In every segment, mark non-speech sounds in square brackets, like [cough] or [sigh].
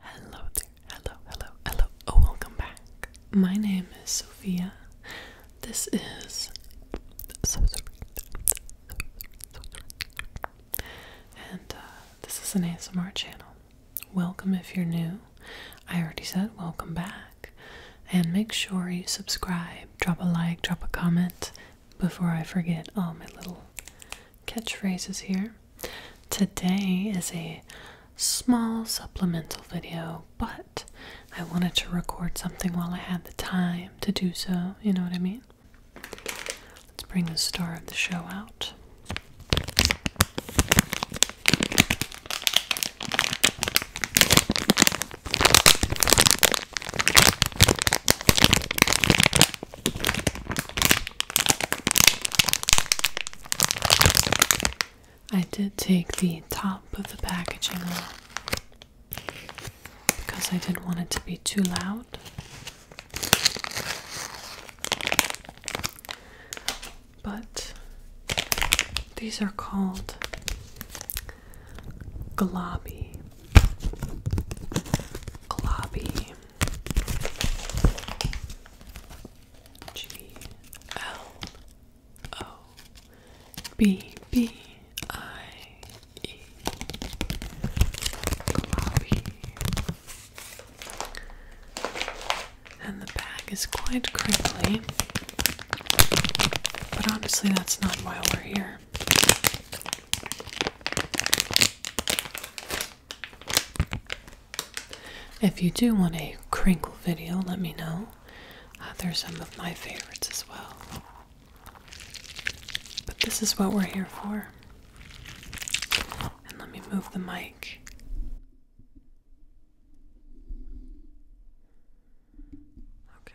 Hello there, hello, hello, hello. Oh, welcome back. My name is Sophia. This is so sorry, And uh, this is an ASMR channel. Welcome if you're new. I already said welcome back. And make sure you subscribe, drop a like, drop a comment before I forget all my little catchphrases here. Today is a small supplemental video, but I wanted to record something while I had the time to do so, you know what I mean? Let's bring the star of the show out. I did take the top of the packaging off because I didn't want it to be too loud. But these are called globby. Globby. G L O B B I E Globby. And the bag is quite crinkly. But honestly, that's not why we're here. If you do want a crinkle video, let me know. Uh, there's some of my favorites as well. But this is what we're here for. And let me move the mic. Okay.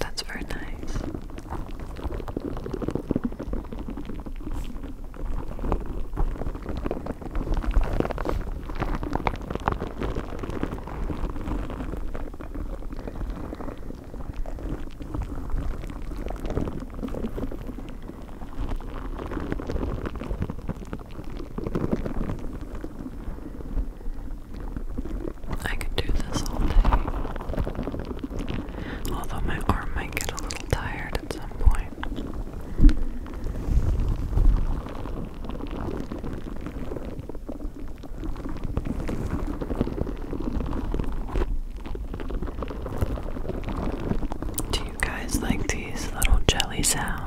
That's very nice. I could do this all day. Although my arm might get a little tired at some point. Do you guys like these little jelly sounds?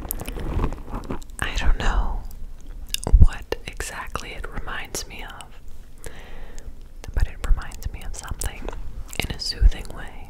I don't know what exactly it reminds me of, but it reminds me of something in a soothing way.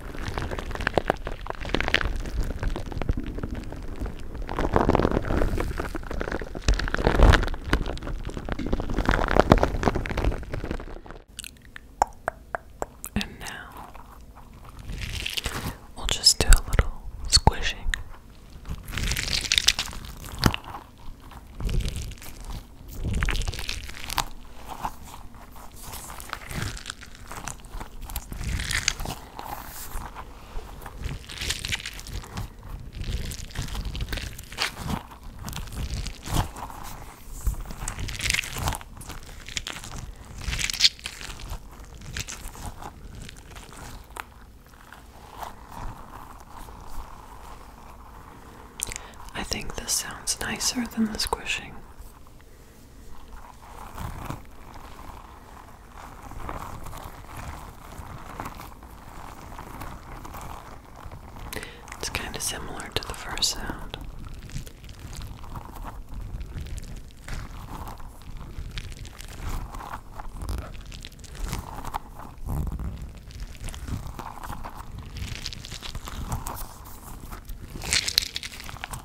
And now we'll just do a little squishing. I think this sounds nicer than the squishing. It's kind of similar to the first sound.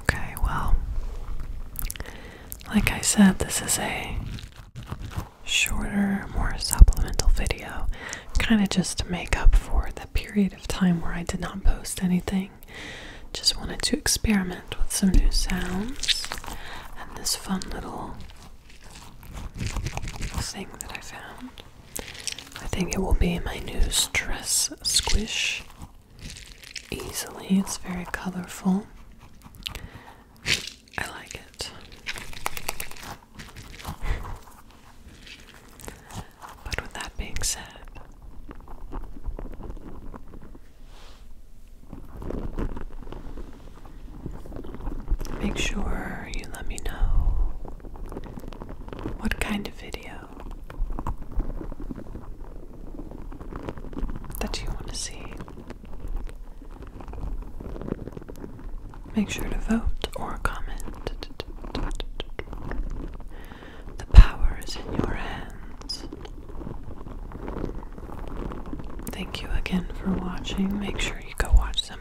Okay, well, like I said, this is a shorter, more supplemental video, kind of just to make up for the period of time where I did not post anything. Just wanted to experiment with some new sounds and this fun little thing that I found. I think it will be my new stress squish easily. It's very colorful. I like it. But with that being said, make sure you let me know what kind of video that you want to see. Make sure to vote or comment. The power is in your hands. Thank you again for watching. Make sure you go watch some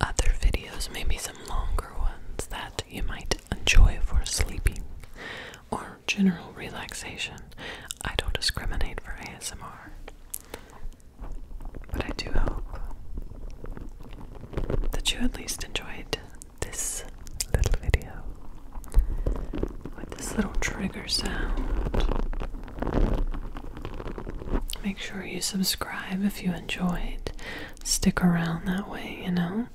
other videos, maybe some longer ones that you might Enjoy for sleeping or general relaxation. I don't discriminate for ASMR, but I do hope that you at least enjoyed this little video with this little trigger sound. Make sure you subscribe if you enjoyed. Stick around that way, you know?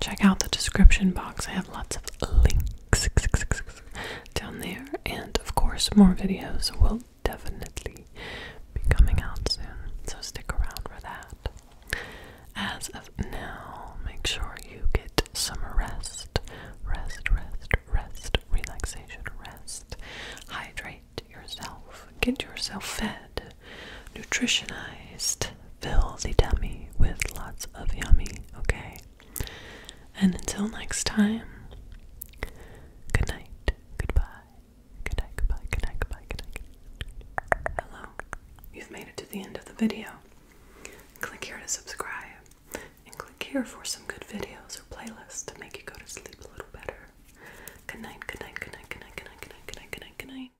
check out the description box. I have lots of links [laughs] down there, and of course, more videos will definitely be coming out soon, so stick around for that. As of now, make sure you get some rest. Rest, rest, rest, relaxation, rest. Hydrate yourself, get yourself fed, nutritionized. Fill the dummy with lots of yummy, okay? And until next time, good night, goodbye, good night, goodbye, good night, goodbye, good night. Hello, you've made it to the end of the video. Click here to subscribe, and click here for some good videos or playlists to make you go to sleep a little better. good night, good night, good night, good night, good night, good night, good night, good night.